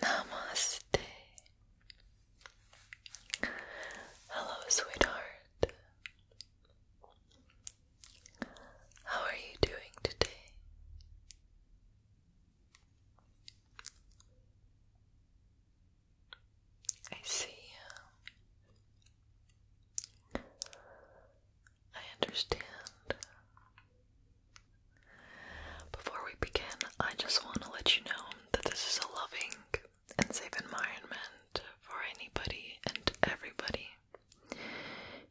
Namaste. Hello, sweetheart. How are you doing today? I see. I understand. Before we begin, I just want to let you know that this is a loving and safe environment for anybody and everybody.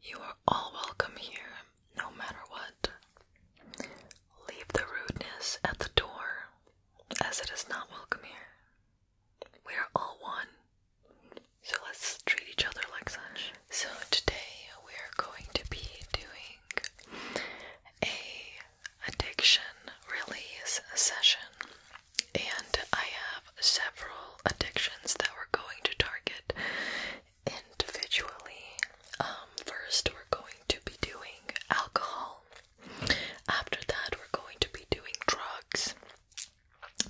You are all welcome here, no matter what. Leave the rudeness at the door as it is not welcome here. We are all one, so let's treat each other like such. So, today we are going to be doing a addiction release session, and I have several addictions that we're going to target individually. Um, first, we're going to be doing alcohol. After that, we're going to be doing drugs.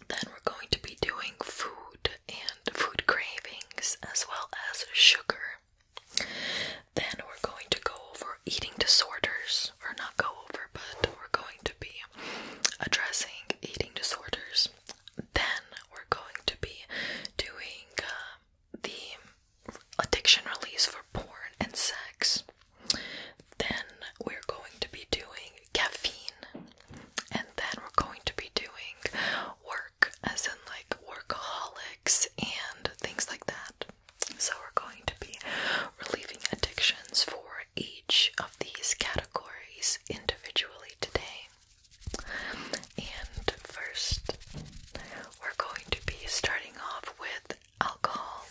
Then we're going to be doing food and food cravings as well as sugar. Then we're going to go over eating disorders, or not go over, but we're going to be addressing eating disorders. Then we're going to be doing uh, the addiction release for porn and sex. Then we're going to be doing caffeine, and then we're going to be doing work, as in like workaholics and things like that. So we're going to be relieving addictions for each of these categories individually today. And first, we're going to be starting off with alcohol.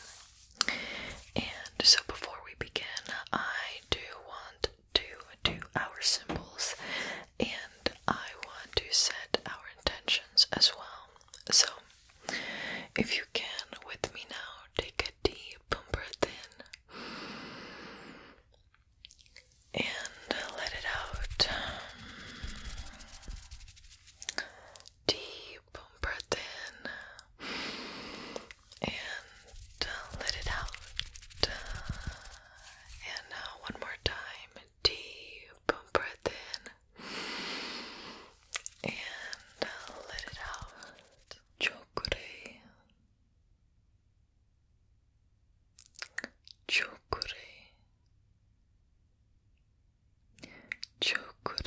And so before we begin, I do want to do our symbols and I want to set our intentions as well. So if you can with me now, take a deep breath in and let it out. Deep boom breath in and uh, let it out. And now one more time. Deep breath in and uh, let it out. Chokure. Chokure. Chokure.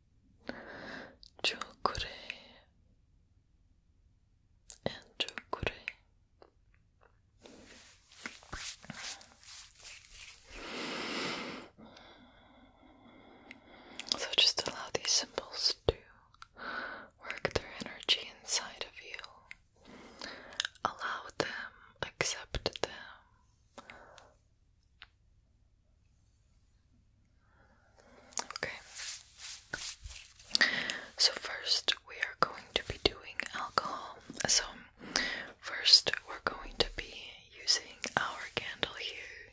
Chokure and Chokure. So just allow these symbols to work their energy inside of you. Allow them, accept them, Okay. So, first we are going to be doing alcohol. So, first we're going to be using our candle here.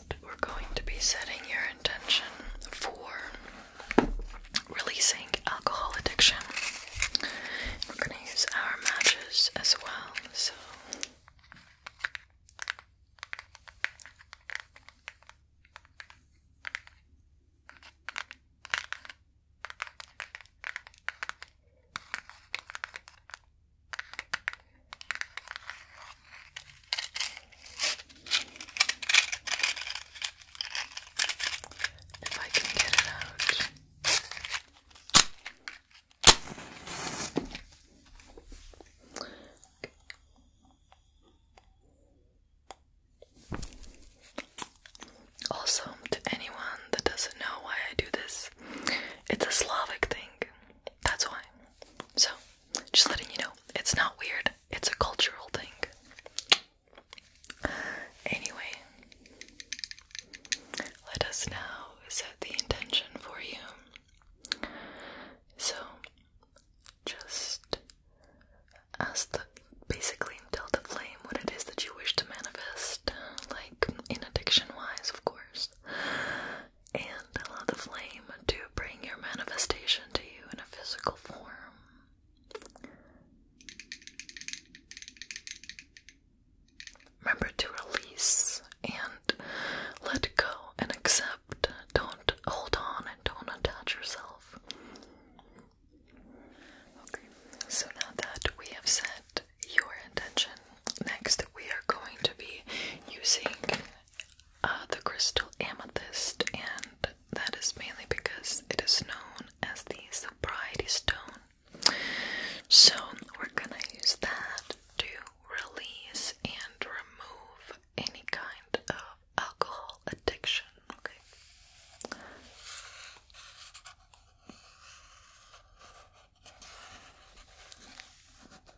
we're going to be setting your intention for releasing alcohol addiction. We're going to use our matches as well. So. If I can get it out. Also, to anyone that doesn't know why I do this, it's a Slavic thing. That's why. So, just letting you know, it's not weird, it's a cultural thing. Anyway, let us now set the intention for you. So, just ask the basically tell the flame what it is that you wish to manifest, like in addiction wise, of course and allow the flame to bring your manifestation to you in a physical form. Remember to release and let go and accept. Don't hold on and don't attach yourself. Okay, so now that we have set your intention, next we are going to be using uh, the crystal amethyst, and that is mainly because it is known as the sobriety stone. So, we're gonna use that to release and remove any kind of alcohol addiction. Okay.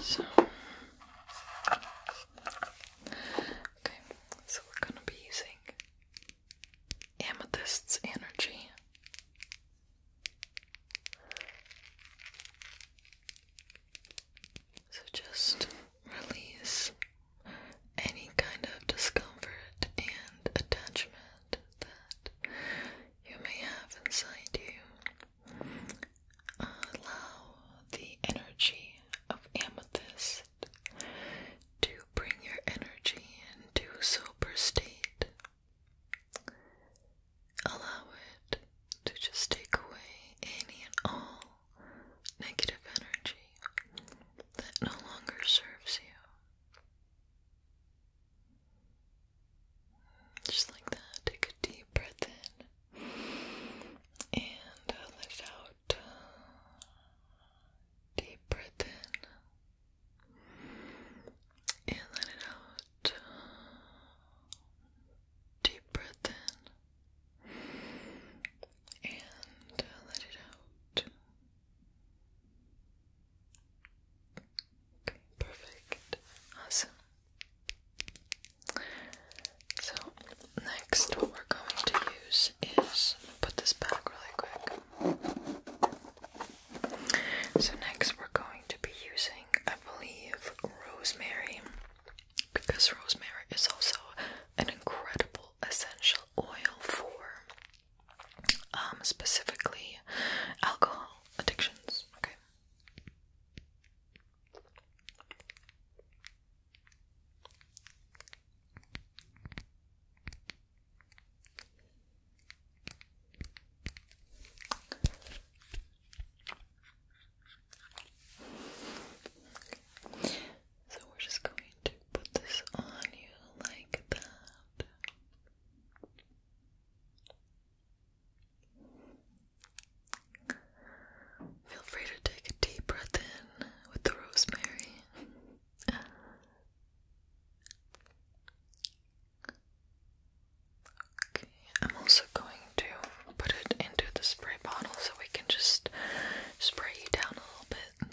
So, okay, so we're gonna be using Amethyst's energy. So just release any kind of discomfort and attachment that you may have inside you. Allow the energy of amethyst to bring your energy into a sober state. Allow it to just take away any and all negative energy that no longer serves you. Just like that, take a deep breath in and uh, let it out. Deep breath in and let it out. Deep breath in and uh, let it out. Okay, perfect. Awesome. So, next, what we're going to use is put this back really quick. So, next, we're going to be using, I believe, rosemary because rosemary is also an incredible essential oil for um, specifically alcohol addictions. Okay. okay. So we're just going to put this on you like that. Feel free to take a deep breath in with the rosemary. Okay, I'm also going to put it into the spray bottle so we can just spray you down a little bit.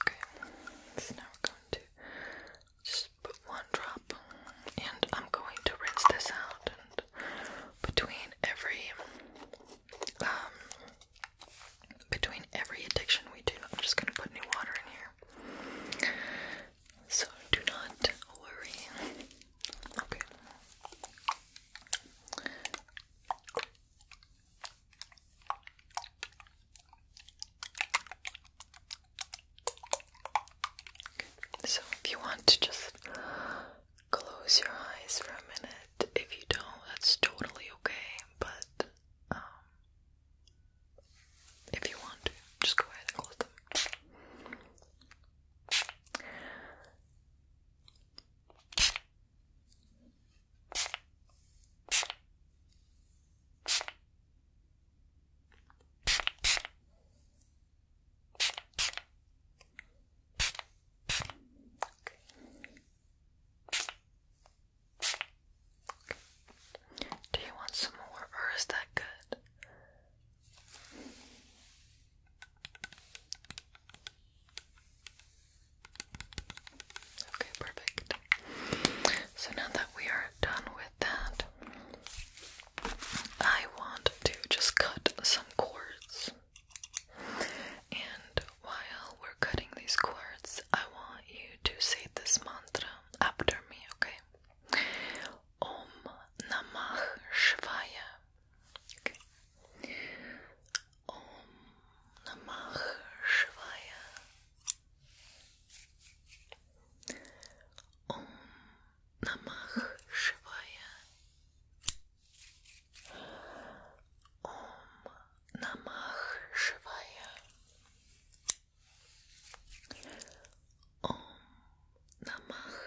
Okay, so now we're going to just put one drop, and I'm going to rinse this out. And between every, um, between every addiction we do, I'm just going to put new water in here. So do not worry. Okay. So, if you want to just close your eyes for a minute, if you don't, that's totally okay. But um, if you want to, just go ahead and close them. Do you want some more, or is that good? Okay, perfect. So now that we are done with that, I want to just cut some cords. And while we're cutting these cords, I want you to say this mantra after me, okay? Om Namah Shivaya. Okay. Om Namah Shivaya. Om Namah Shivaya。Om Namah Shivaya。Om Namah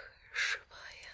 Shivaya。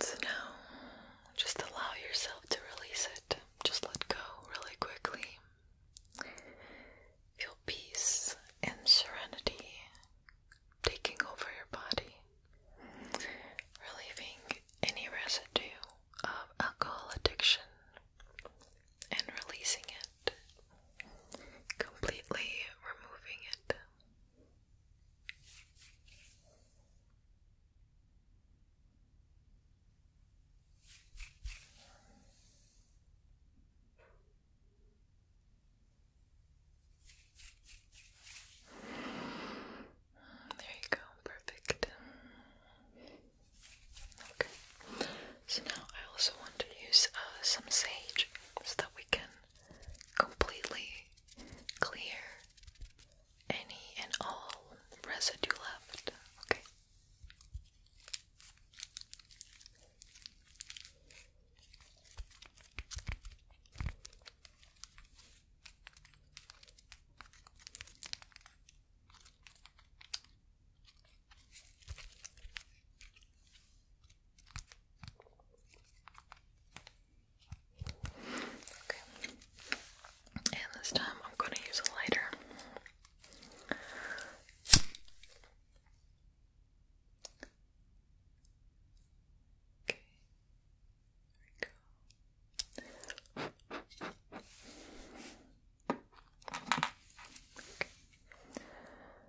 So now, just allow yourself to release it. Just let go really quickly. Feel peace and serenity taking over your body, relieving any residue of alcohol addiction and releasing it completely removing it. There you go, perfect. Okay. So now I also want to use uh, some sage so that we can completely clear any and all residue left. Okay. Okay. And this time I'm going to use a lighter. Okay. There we go.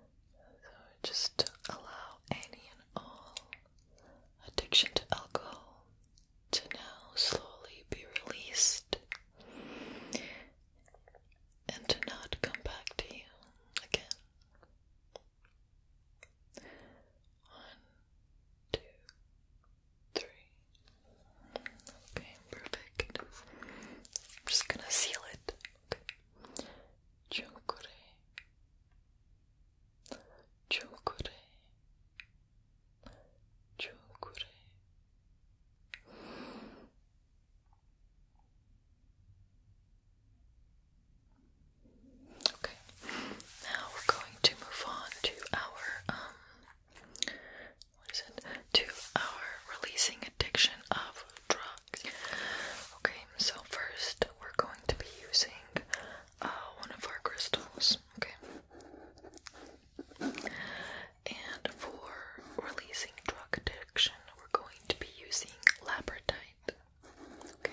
So just allow any and all addiction to alcohol to now slowly be released and to not come back to you again. One, two, three. Okay, perfect. I'm just gonna seal it. Okay. Chukure Chukure Chukure Okay, now we're going to move on to our um what is it? To our releasing addiction of drugs. Okay, so first we're going to be using uh, one of our crystals, okay? And for releasing drug addiction, we're going to be using labradite. Okay.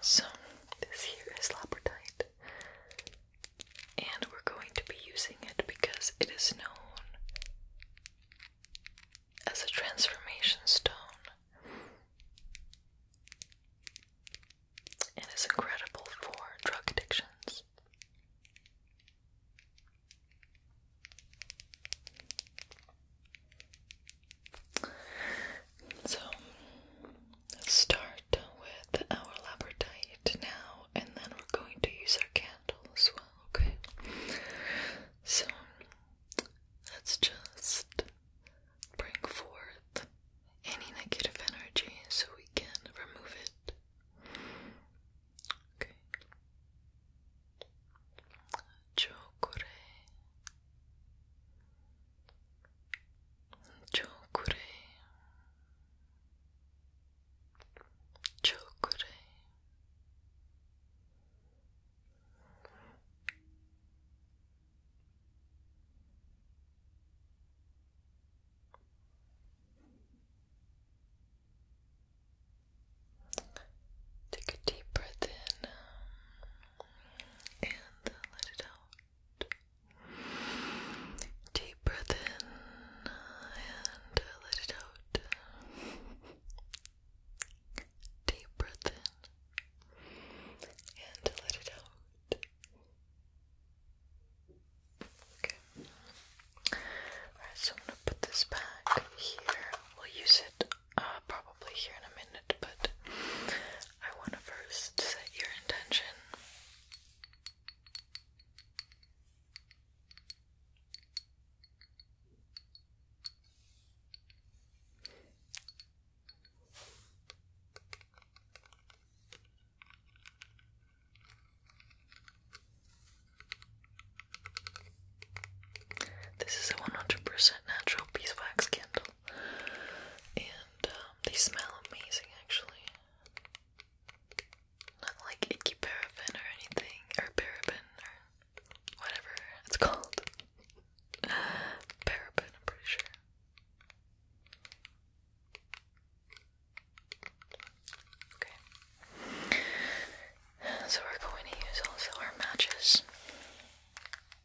so this here is labradorite, and we're going to be using it because it is known as a transformation stone. It is incredible for drug addictions. So let start with our labradorite now, and then we're going to use our candle as well, okay? So let's just bring forth any negative energy so we can remove it. Okay. Chokure Chokure Chokure Take a deep breath in and uh, let it out. Deep breath in and uh, let it out. Deep breath in and uh, let it out. Okay. Alright, so I'm gonna put this back here. We'll use it uh, probably here in a minute, but I want to first set your intention. This is a 100% natural beeswax candle. And um, they smell amazing actually. Not like icky paraffin or anything, or paraben or whatever it's called. paraben, I'm pretty sure. Okay. So we're going to use also our matches.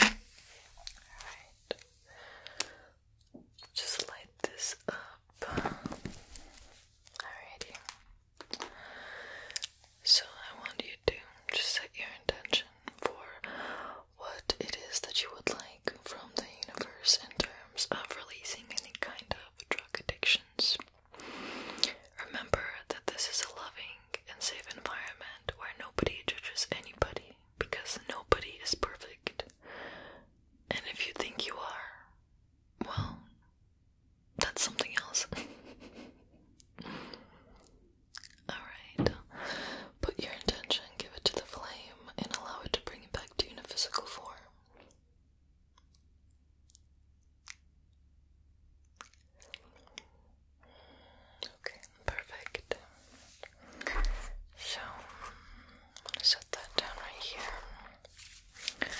Alright. Just light this up. Alrighty. So I want you to just set your intention for what it is that you would like from the universe in terms of releasing any kind of drug addictions. Remember that this is a loving and safe environment where nobody judges anybody because nobody is perfect. And if you think you are, well, that's something else. Alright, put your intention, give it to the flame, and allow it to bring it back to a physical form. Okay, perfect. So, I'm gonna set that down right here.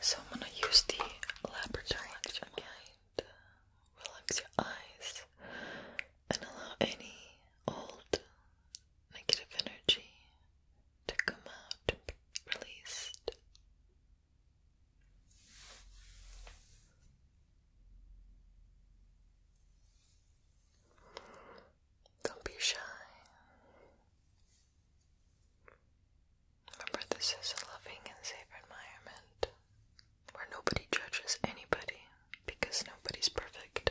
So, I'm gonna use the laboratory action guide. Uh, relax your eyes and allow any old negative energy to come out and be released. Don't be shy. Remember, this is a loving and safe environment where nobody judges anybody because nobody's perfect.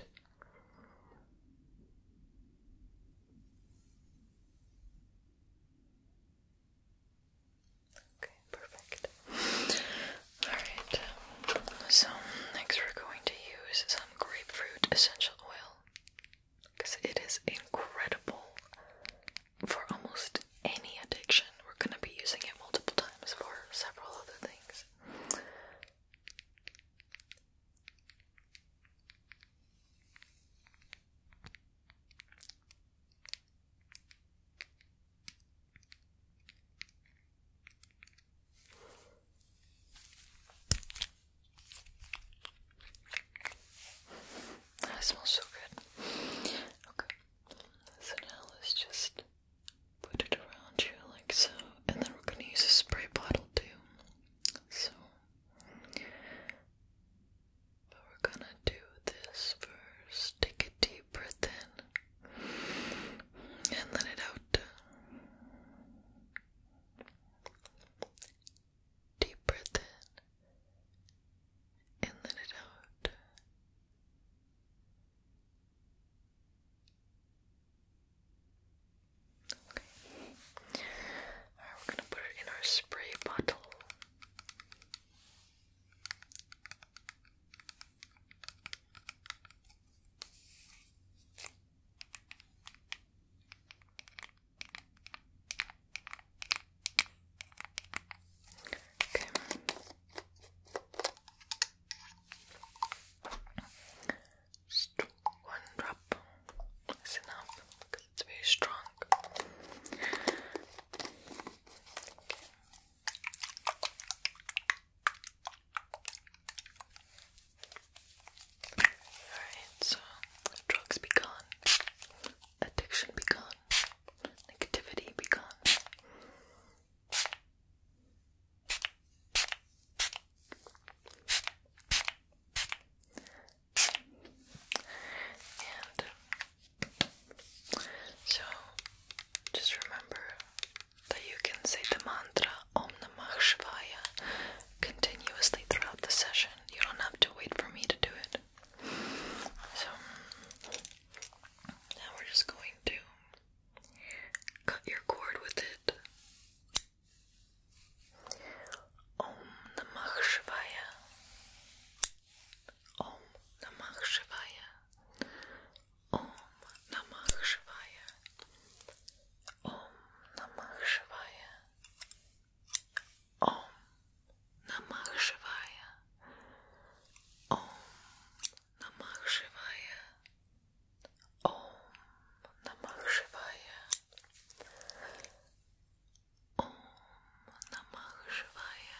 Okay, perfect. Alright, um, so next we're going to use some grapefruit essential oil because it is incredible for almost any addiction. We're going to be using it multiple times for several other things. That smells so good. Okay, so now let's just put it around you like so, and then we're gonna use a spray bottle too. So but we're gonna do this first. Take a deep breath in and let it out. Deep breath in and let it out. Okay. Alright, we're gonna put it in our spray bottle. Okay. Just one drop is enough because it's very strong. Alright, so drugs be gone, addiction be gone, negativity be gone. And so just remember that you can say the mantra Om Namah Shivaya continuously throughout the session. You don't have to wait for me to do it. So now we're just going to cut your cord with it. Om Namah Shivaya. Om Namah Shivaya. Om Namah Shivaya. Om Namah Shivaya. Om Namah Shivaya. Om Namah Shivaya. Om Namah Shivaya. Om Namah Shivaya.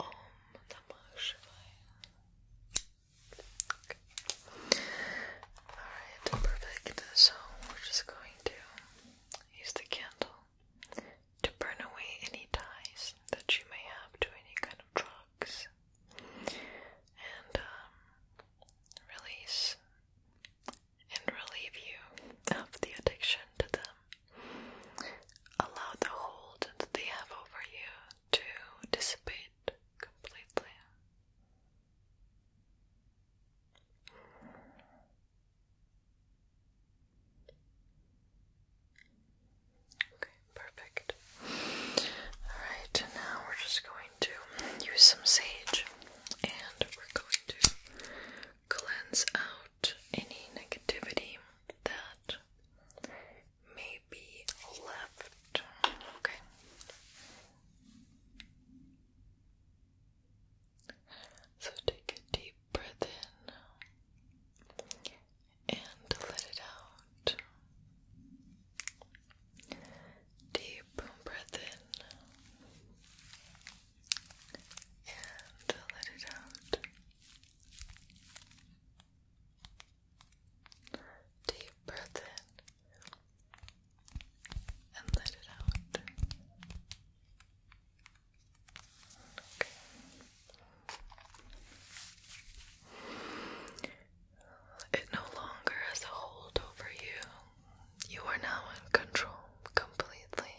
Om Namah Shivaya. Alright, perfect. So we're just going to use the candle to burn away any ties that you may have to any kind of drugs and um, release and relieve you of the addiction to them. Allow the hold that they have over you to dissipate completely. Okay, perfect. Alright, now we're just going to use some sage and we're going to cleanse out any negativity that may be left. Okay. So take a deep breath in and let it out. Deep breath in and let it out. Deep breath in and let it out. Okay. It no longer has a hold over you. You are now in control completely.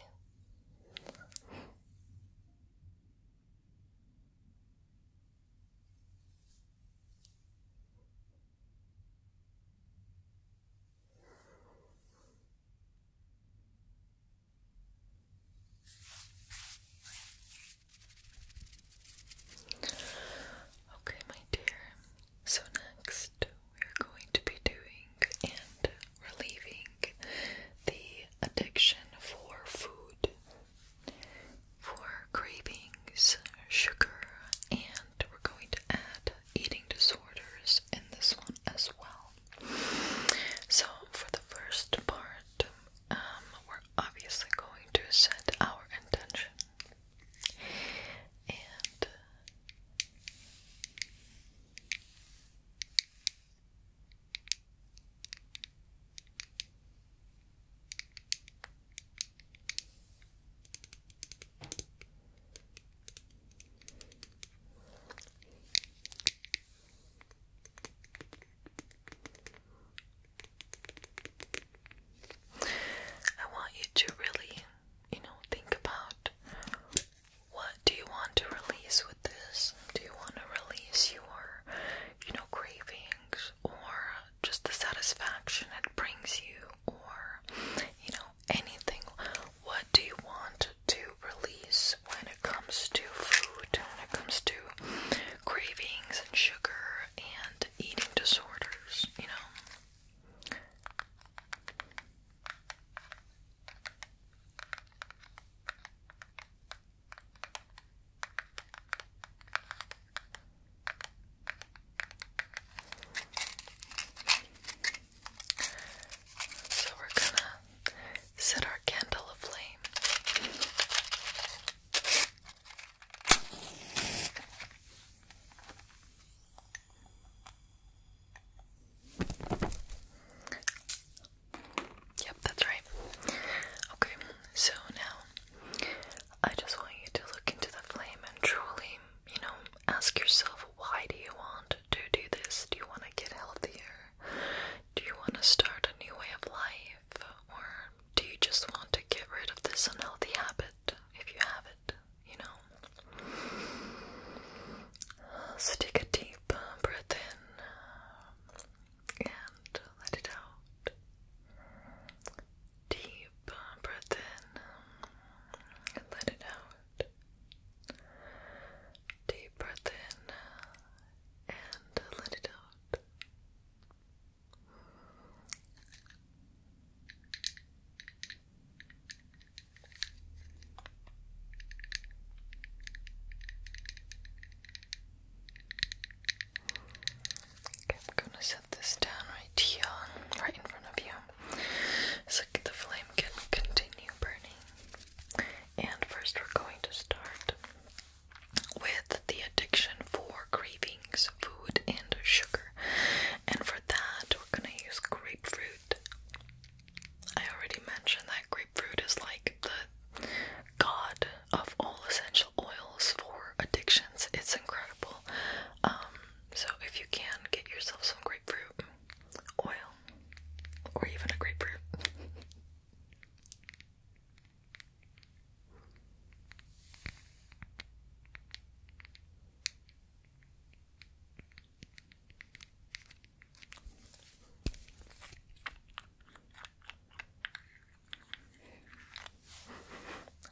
Okay, my dear. So, next we're going to be doing and relieving the addiction for food, for cravings, sugar, and we're going to add eating disorders in this one as well. So, for the first part, um, we're obviously going to set our intention and I want you to really, you know, think about what do you want to release with this? Do you want to release your, you know, cravings or just the satisfaction it brings you or, you know, anything? What do you want to release when it comes to food, when it comes to cravings and sugar and eating disorders, you know? So we're gonna set our candle aflame. Yep, that's right. Okay, so now I just want you to look into the flame and truly, you know, ask yourself why do you want to do this? Do you want to get healthier? Do you want to start a new way of life? Or do you just want to get rid of this unhealthy habit if you have it? You know, so take a deep breath in and let it out. Deep breath in and let it out. Deep breath in and let it out. I'm gonna set this down right here, right in front of you. So the flame can continue burning. And first, we're going to start with the addiction for cravings, food, and sugar. And for that, we're gonna use grapefruit. I already mentioned that grapefruit is like the god of all essential oils for addictions. It's incredible. Um, so if you can, get yourself some grapefruit oil or even a grapefruit.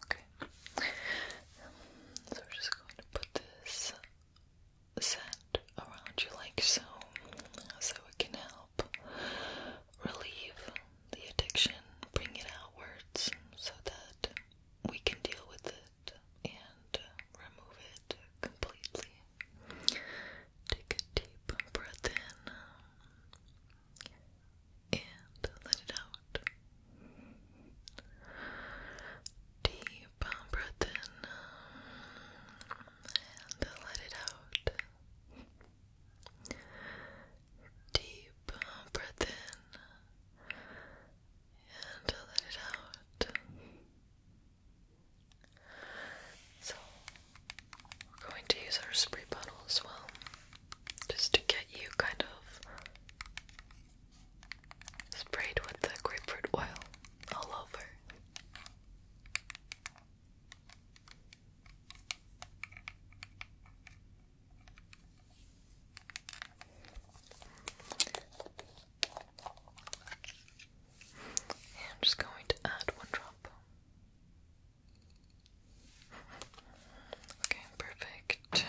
Okay, so we're just going to put this scent around you like so, so it can help relieve the addiction, bring it outwards so that we can deal with it remove it completely. Take a deep breath in and let it out. Deep breath in and let it out. Deep breath in and let it out. So, we're going to use our spray bottle as well, just to get you kind of sprayed with the grapefruit oil all over. I'm just going to add one drop. Okay, perfect.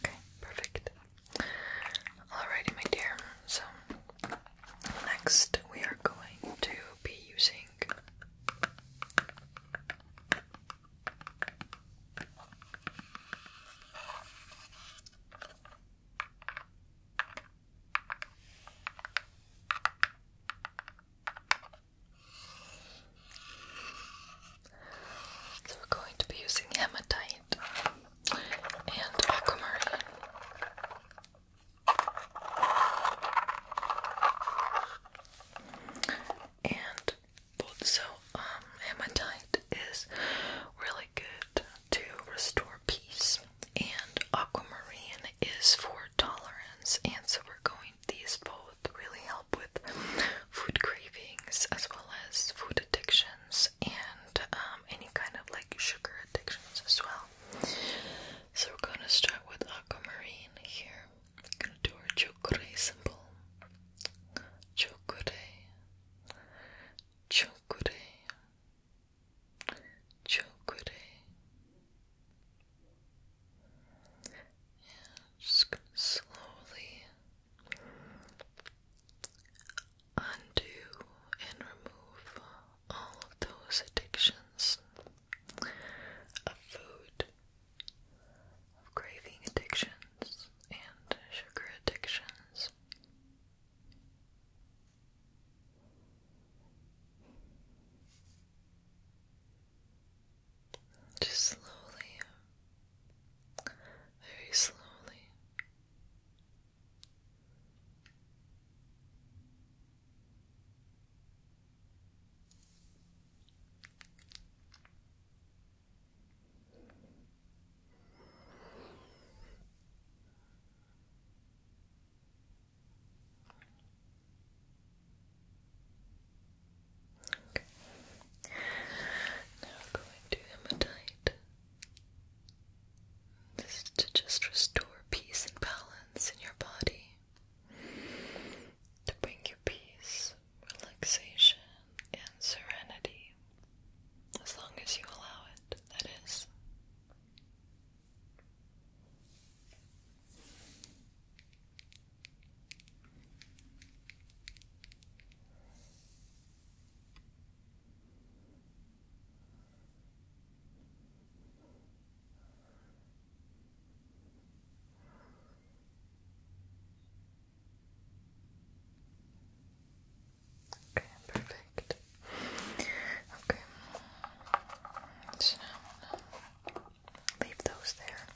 Okay, perfect. Alrighty, my dear. So, next we are going to be using. So we're going to be using hematite and aquamarine. And so um hematite is really good to restore peace and aquamarine is for tolerance and so we're going these both really help with food cravings as well as food addictions and um, any kind of like sugar addictions as well. So we're gonna start with aquamarine here. We're gonna do our chokure symbol. Chokure. Chokure. Chokure just going slowly undo and remove all of those addictions of food, of craving addictions, and sugar addictions. Just slowly, very slowly. Now going to hematite. This to just restore peace and balance in your body. To bring you peace, relaxation, and serenity. As long as you allow it, that is. Okay, perfect. Okay. So, leave those there.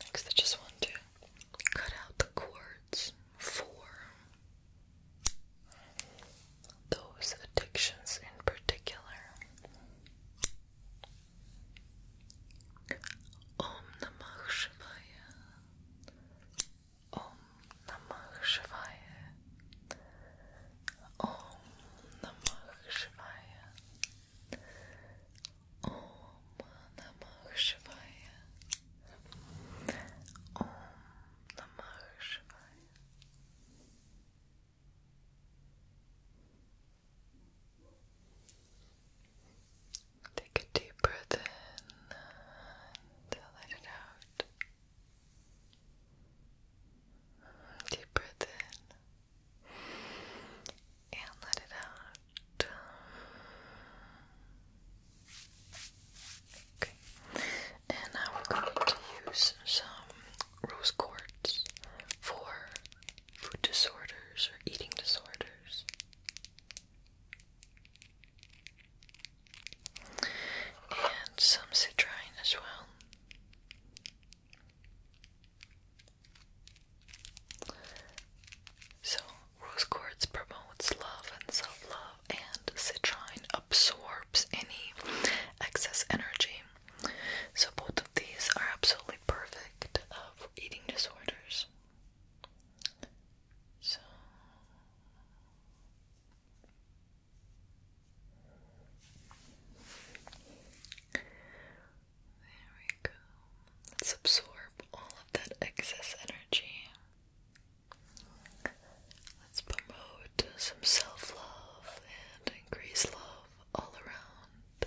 Next, I just want to cut out the cords for those addictions in particular. Om Namah Shivaya. Om Namah Shivaya. Om Namah Shivaya. Om Namah Shivaya. Om Namah Shivaya. Take a deep breath in and let it out. Deep breath in and let it out. Okay, and now we're going to use some rose quartz for food disorders or eating disorders. And some citrine as well. So, rose quartz promotes love and self love, and citrine absorbs any excess energy. So, both of these are absolutely perfect uh, for eating disorders. So, there we go. Let's absorb all of that excess energy. Let's promote some self love and increase love all around.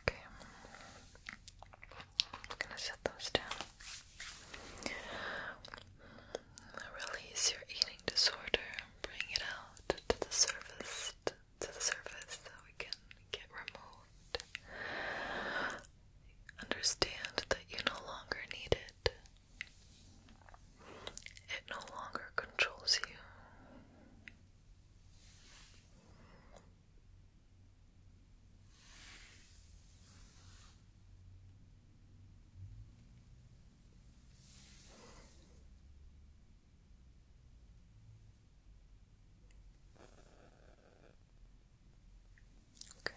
Okay, I'm gonna set those down. Release your eating disorder, bring it out to the surface, to the surface so we can get removed. Understand that you no longer need it. It no longer controls you. Okay.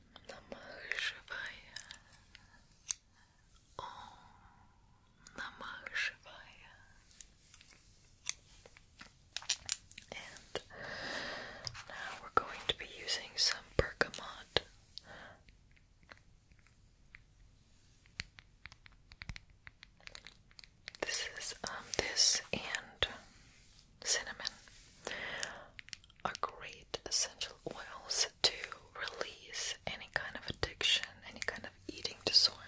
Намах живая. О, намах живая. And now we're going to be using some bergamot. This is um this and cinnamon are great essential oils to release any kind of addiction, any kind of eating disorder.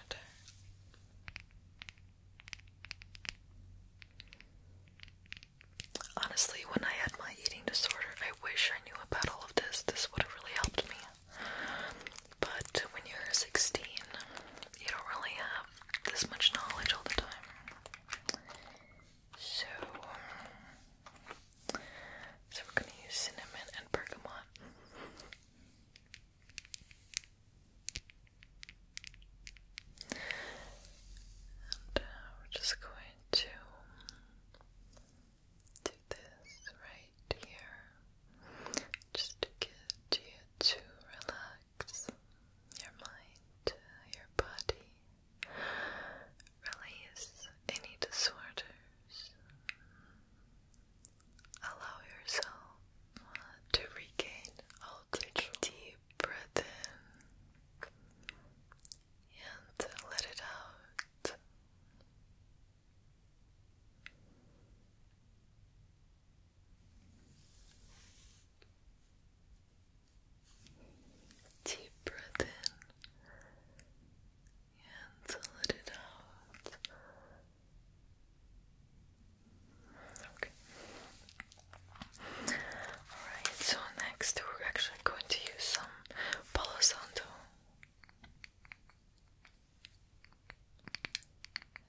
Honestly, when I had my eating disorder, I wish I knew about all of this. This would have really helped me. But when you're 16, you don't really have this much knowledge all the time. So, um, so we're gonna use cinnamon and bergamot. and uh, we're just going to do this right here, just to get you to relax your mind, your body. Release any disorders. Allow yourself to regain all Deep breath in and let it out. Deep breath in and let it out. Okay. Alright, so next we're actually going to use some Palo Santo.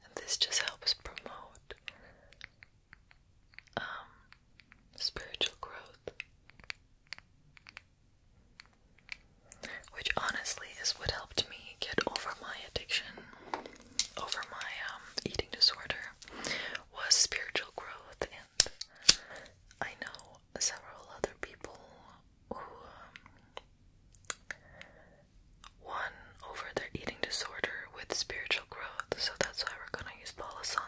And this just helps promote um, spiritual growth. Which honestly is what helped me get over my addiction, over my um, eating disorder, was spiritual growth. And I know several other people who um, won over their eating disorder with spiritual growth, so that's why we're gonna use Palo Santo.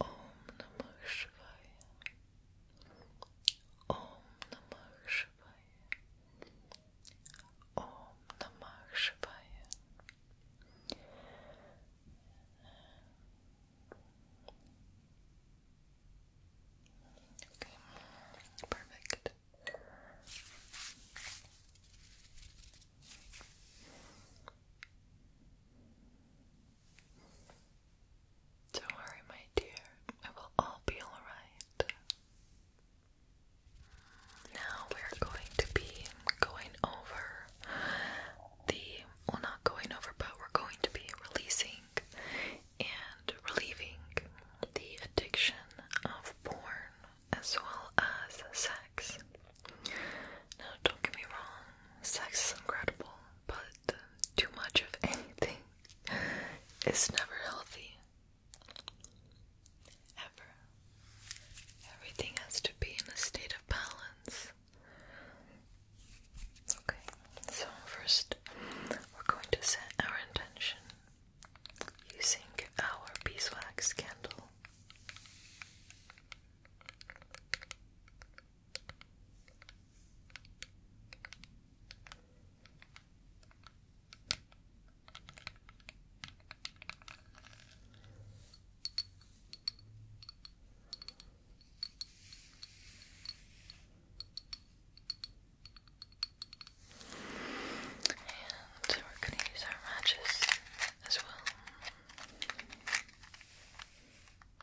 Om Namah Shivaya. Om Namah Shivaya. Om Namah Shivaya. perfect. Don't worry, my dear, it will all be alright. Now we're going to be going over the, well, not going over, but we're going to be releasing and relieving the addiction of porn as well as sex. Now, don't get me wrong, sex is incredible, but too much of anything is never healthy. Ever. Everything has to be in a state of balance. Okay, so first we're going to set our intention using our beeswax candle. And we're going to use our matches as well.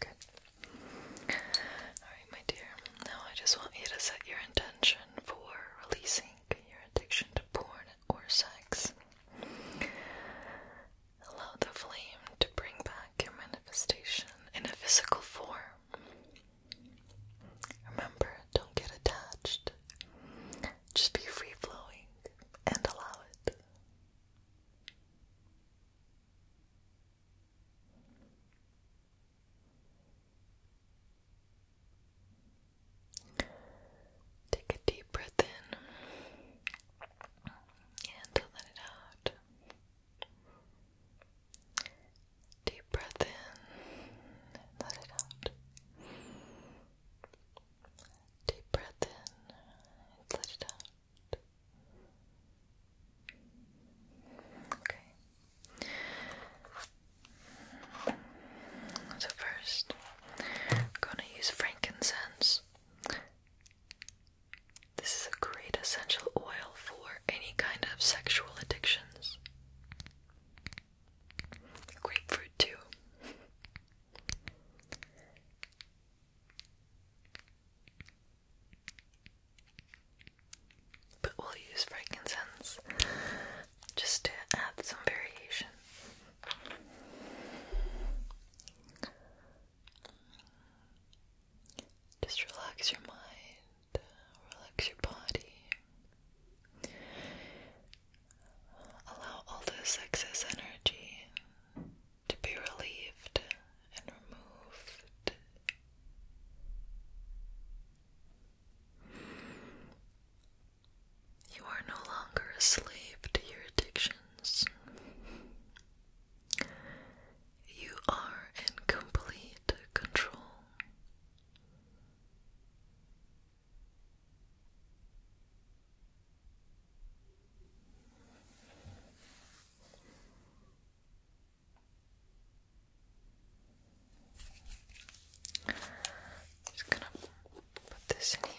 Good. Alright, my dear. Now I just want you to set your intention for releasing your addiction to porn or sex. Allow the flame to bring back your manifestation in a physical form. Remember, don't get attached. Just be free flowing and allow it. Take a deep breath in and let it out. Deep breath in, let it out. Deep breath in, let it out. Okay. So first, I'm gonna use frankincense this is a great essential oil for any kind of sexual addictions. Grapefruit, too. But we'll use frankincense just to add some variation. Just relax your mind, relax your body. Allow all this excess energy to be relieved and removed. You are no longer a slave to your addictions. You are in complete control. just gonna put this in here.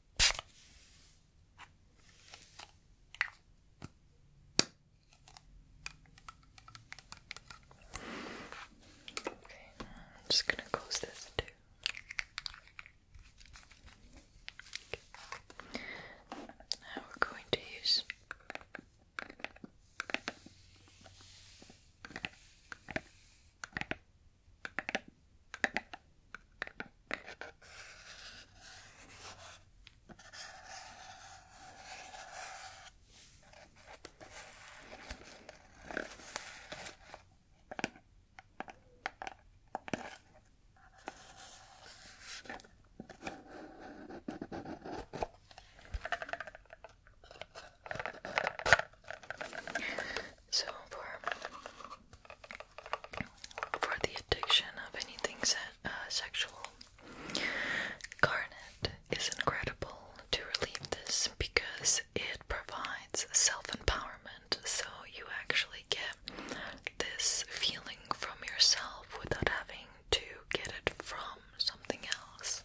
Okay, I'm just gonna close this too. Now we're going to use so for for the addiction of anything se uh, sexual. Garnet is incredible to relieve this because it provides self empowerment, so you actually get this feeling from yourself without having to get it from something else.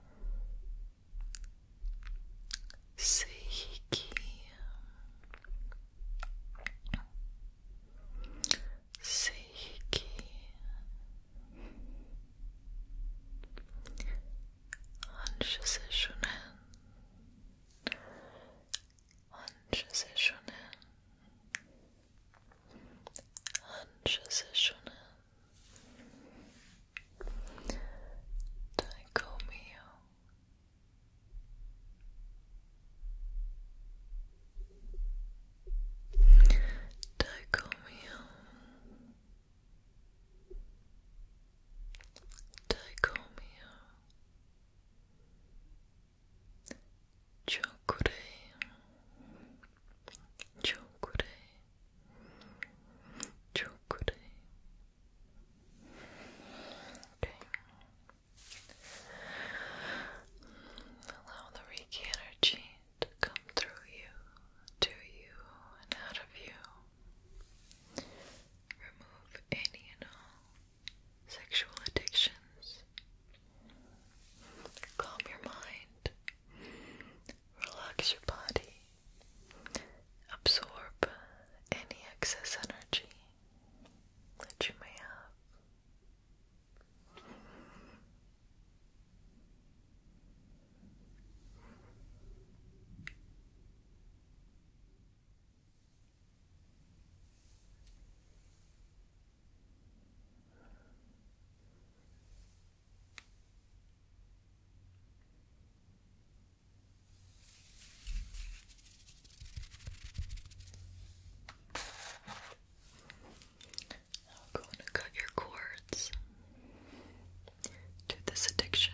Seiki Seiki Anshaseshonen Anshaseshonen Anshaseshonen Dicomio Dicomio Dicomio Chokure Chokure Chokure Okay Allow the Reiki energy to come through you, to you, and out of you. Remove any and all sexual addictions. Calm your mind Relax your body. Absorb any excess energy that you may have. I'm going to cut your cords to this addiction.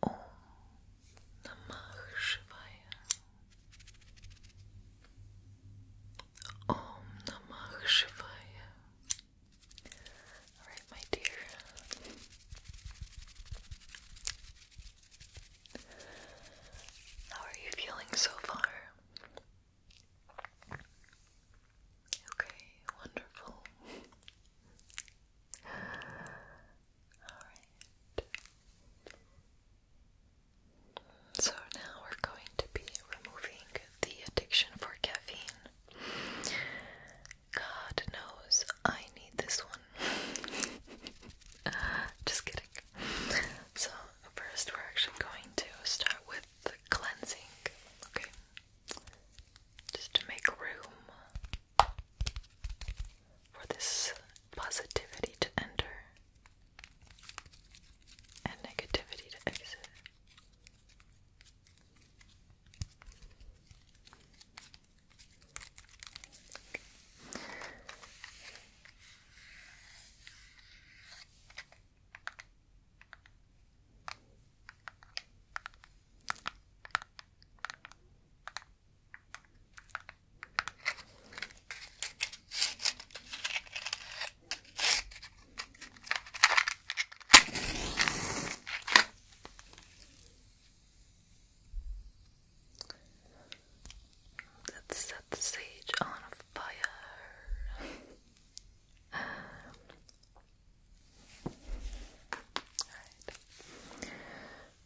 Om Namah Shivaya. Om Namah Shivaya. All right, my dear. How are you feeling so far? Okay, wonderful. Alright. So now we're going to be removing the addiction for caffeine. God knows I need this one. Just kidding. So, first we're actually going to start with cleansing, okay? Just to make room for this positivity to enter and negativity to exit. Let's set the sage on fire. um,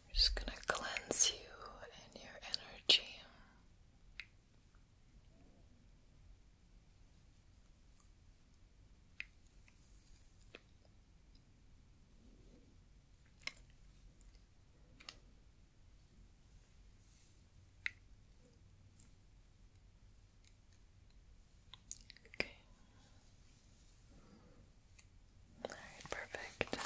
We're just going to cleanse you and your energy. Okay. Alright, perfect.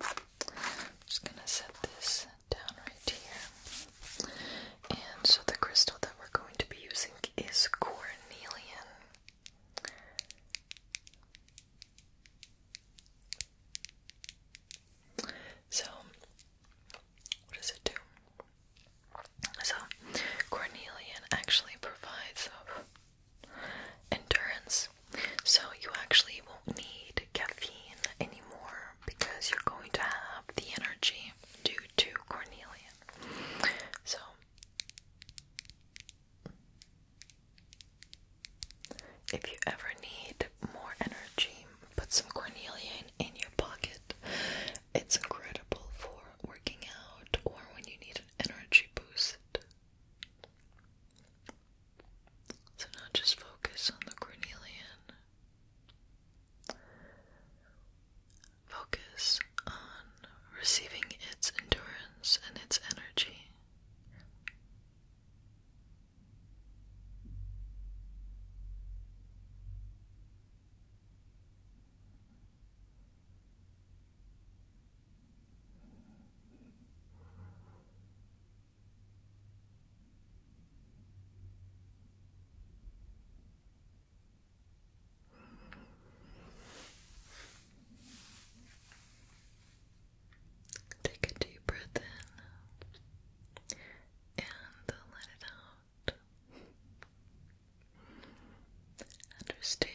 I'm just gonna set this down right here. And so the crystal that we're going to be using is cornelian. So, what does it do? So, cornelian actually provides endurance. So you actually won't need caffeine anymore because you're going to have the energy due to cornelian. So if you ever need more energy, put some cornelian in your pocket. It's incredible for working out or when you need an energy boost. So now just focus on the cornelian. Focus on receiving its endurance and its energy. Take a deep breath in and let it out. Understand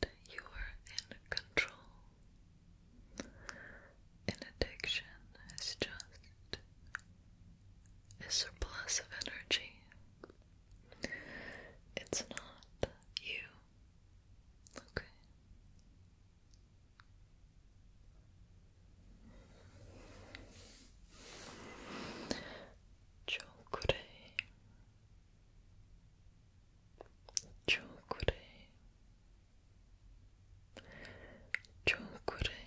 that you are in control an addiction is just a surplus of energy. It's not you. Okay. Chokure Chokure Chokure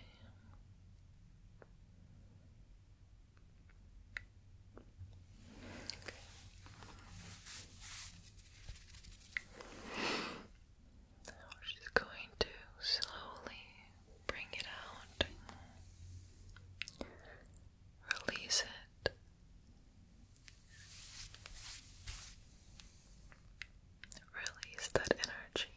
Now she's going to slowly bring it out, release it. Release that energy.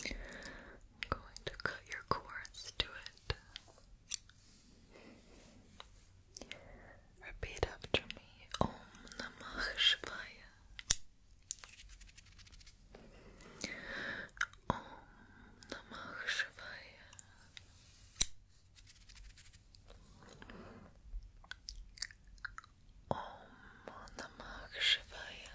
Okay. I'm going to cut your cords to it. Repeat after me. Om Namah Shivaya. Om Namah Shivaya. Om Namah Shivaya. Om Namah Shivaya.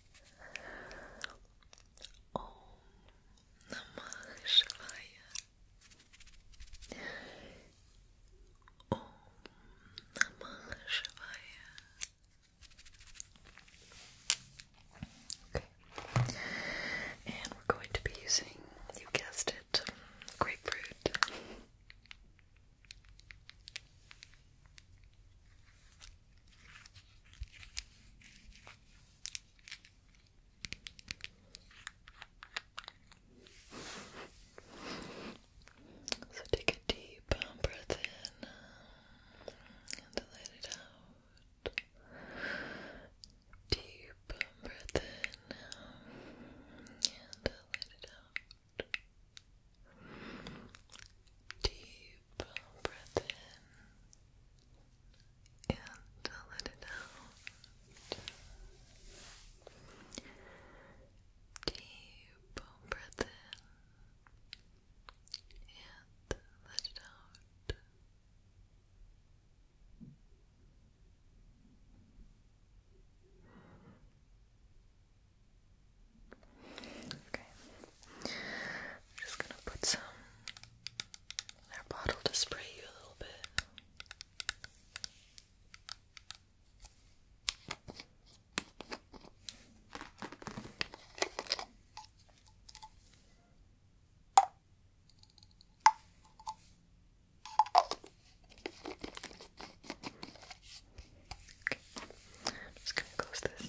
Om Namah Shivaya Om Namah Shivaya and we're going to be using, you guessed it, grapefruit so take a deep breath in and let it out. Deep breath in and let it out. Deep breath in and let it out. Deep breath in and let it out. Deep Okay. I'm just gonna put some in bottle to spray you a little bit. I'm just gonna close this.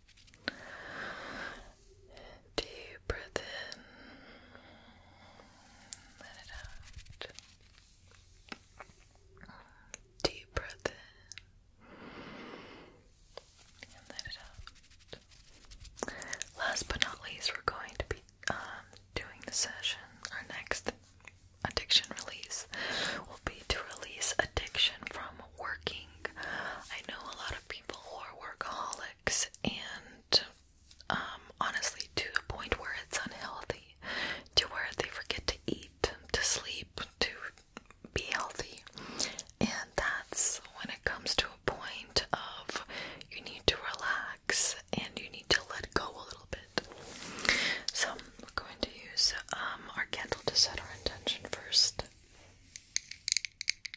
Deep breath in. Let it out. Deep breath in. let it out. Last but not least, we're going to be um, doing the session. Our next addiction release will be to release addiction from working. I know a lot of people who are workaholics and um, honestly to a point where it's unhealthy, to where they forget to eat, to sleep, to be healthy. And that's when it comes to a point of you need to relax and you need to let go a little bit. So we're going to use um, our candle to set our intention first.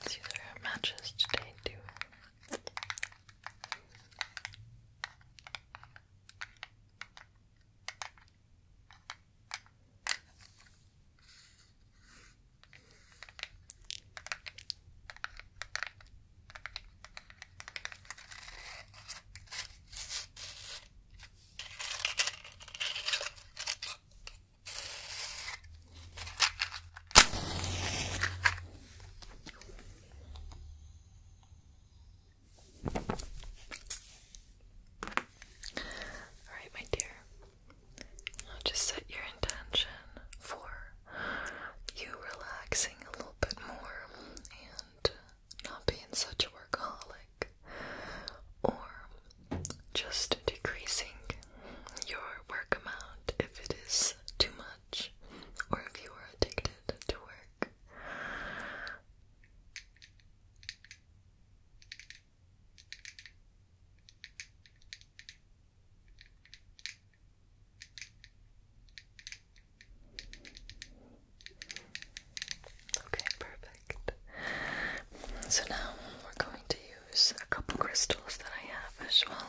Let's use our matches today too. All right, my dear. just set your intention for you relaxing a little bit more and uh, not being such a workaholic or just decreasing your work amount if it is too much or if you are addicted to work. Okay, perfect. So now we're going to use a couple crystals that I have as well.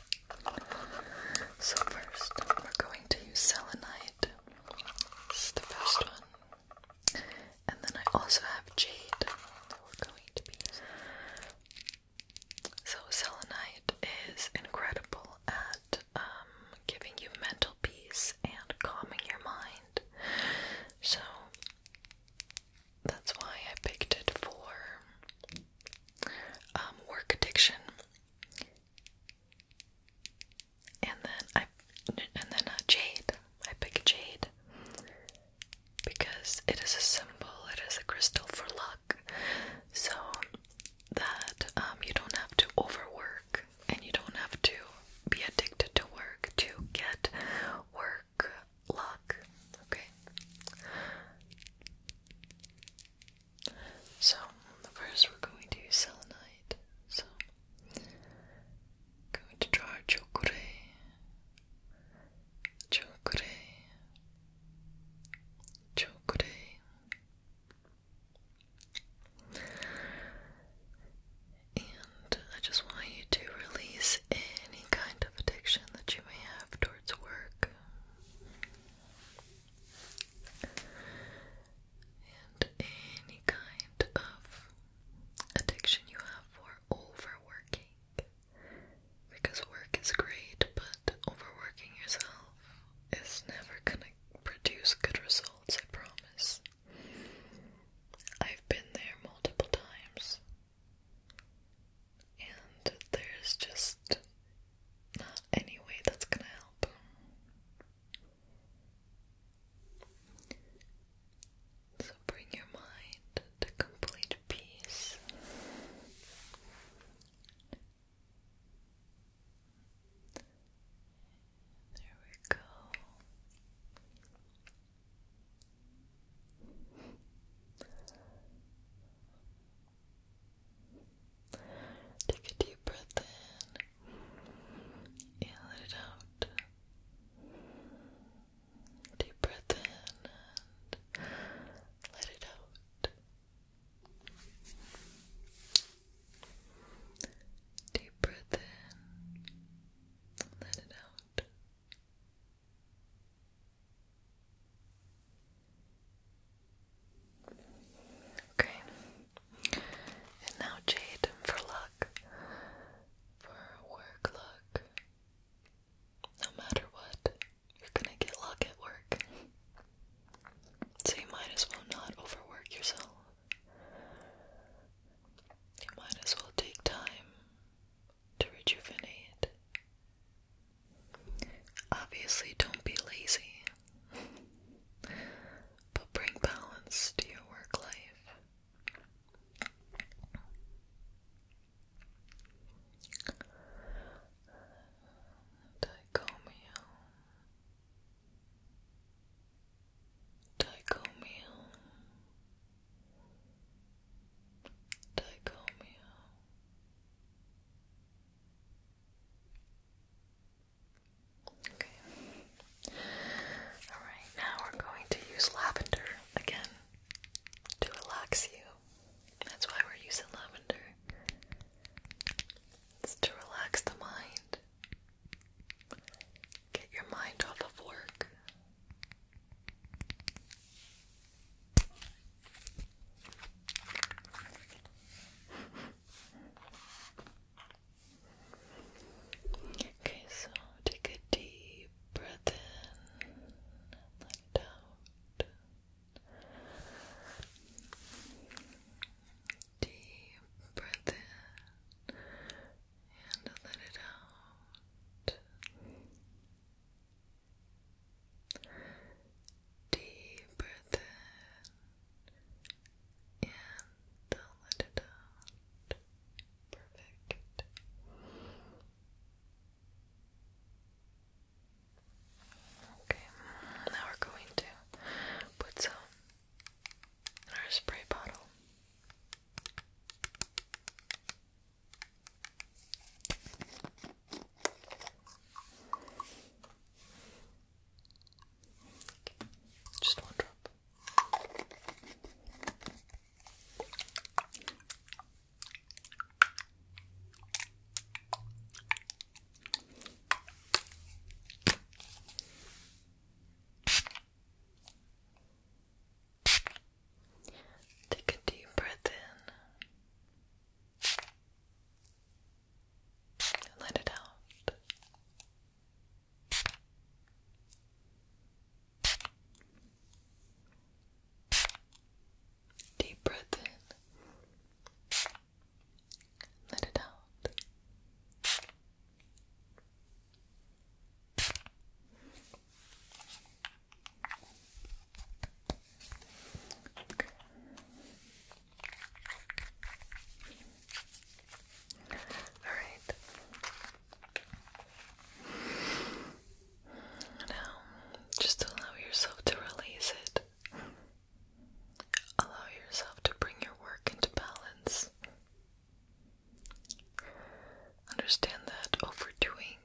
So first, we're going to use selenite. This is the first one. And then I also have jade So selenite is incredible at um, giving you mental peace and calming your mind. So that's why I picked it for um, work addiction. And then I and then uh, jade. I pick jade because it is a symbol. It is a crystal for luck, so that um, you don't have to overwork and you don't have to be addicted to work to get work luck, okay? So, first we're going to use selenite. So, going to try our chokure. Chokure. Chokure. And I just want you to release any kind of addiction that you may have towards work, and any kind of addiction you have for overworking. Because work is great, but overworking yourself is never gonna produce good results, I promise. I've been there multiple times and there's just not any way that's gonna help. So bring your mind to complete peace. There we go. Take a deep breath in and let it out. Deep breath in and let it out. Deep breath in, let it out. Okay. And now Jade for luck. For work luck. No matter what, you're gonna get luck at work. So you might as well not overwork yourself. You might as well take time to rejuvenate. Obviously, don't be lazy, but bring balance to your work life. Dichomio. Dichomio. Dichomio. Okay. Alright, now we're going to use lavender again to relax you. That's why we're using lavender. It's to relax the mind. Get your mind off of work. Okay, so take a deep breath in and let it out. Deep breath in and let it out. Deep breath in and let it out. Perfect. Okay, now we're going to put some in our spray bottle. Just one drop. Take a deep breath in let it out. Deep breath in, let it out. All right. Now, just allow yourself to release it. Allow yourself to bring your work into balance. Understand that overdoing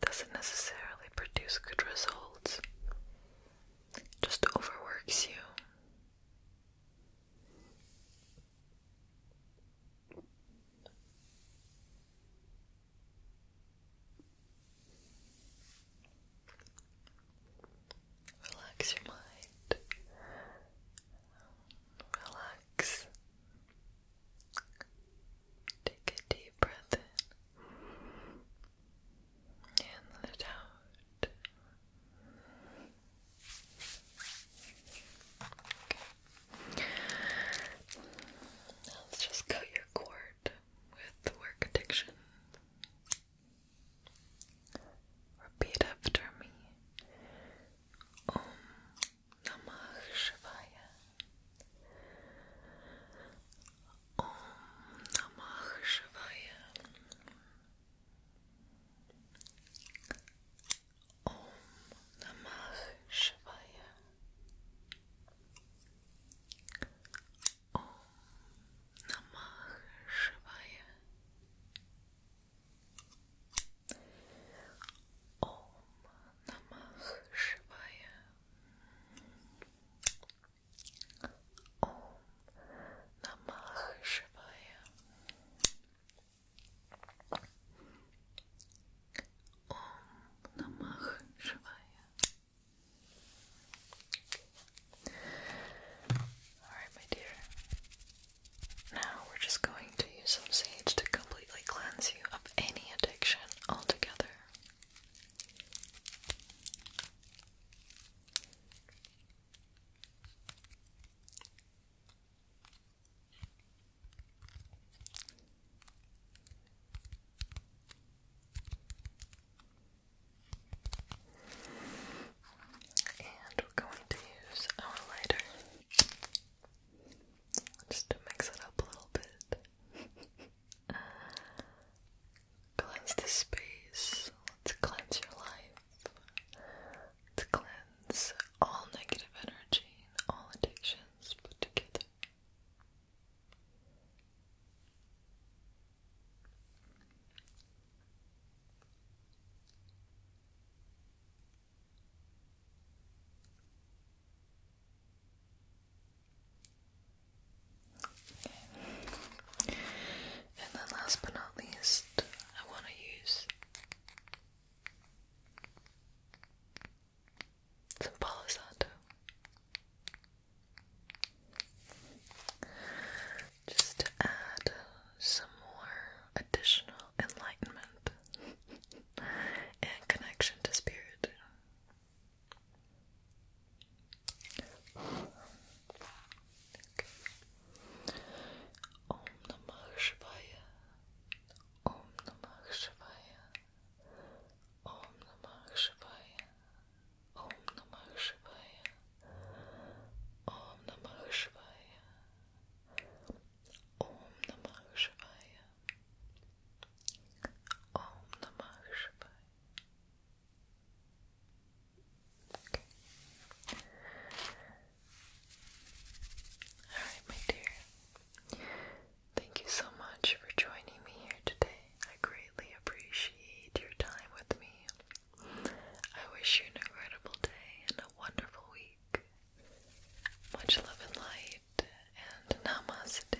doesn't necessarily produce good results, just overworks you. Relax your mind. Relax. Take a deep breath in and let out. let's just cut your cord with work addiction. Repeat after me. Om Namah Shivaya. Om Namah Shivaya Om Namah Shivaya Om Namah Shivaya Om Namah Shivaya Om Namah Shivaya. Om Namah Shivaya. Alright, my dear. Now we're just going to use some sage to completely cleanse you of any addiction altogether. And we're going to use our lighter just to mix it up a little bit. Cleanse the space. let cleanse your life. let cleanse all negative energy all addictions put together. And then last but not least, I want to use some Palo Santo. Just to add some more additional enlightenment and connection to spirit. Om namah shivaya. Om namah shivaya. Om namah shivaya. Om namah shivaya. Om namah shivaya. Om namah shivaya. Om namah shivaya. Alright, my dear. Thank you so much for joining me here today. I greatly appreciate your time with me. I wish you an incredible day and a wonderful week. Much love and light, and namaste.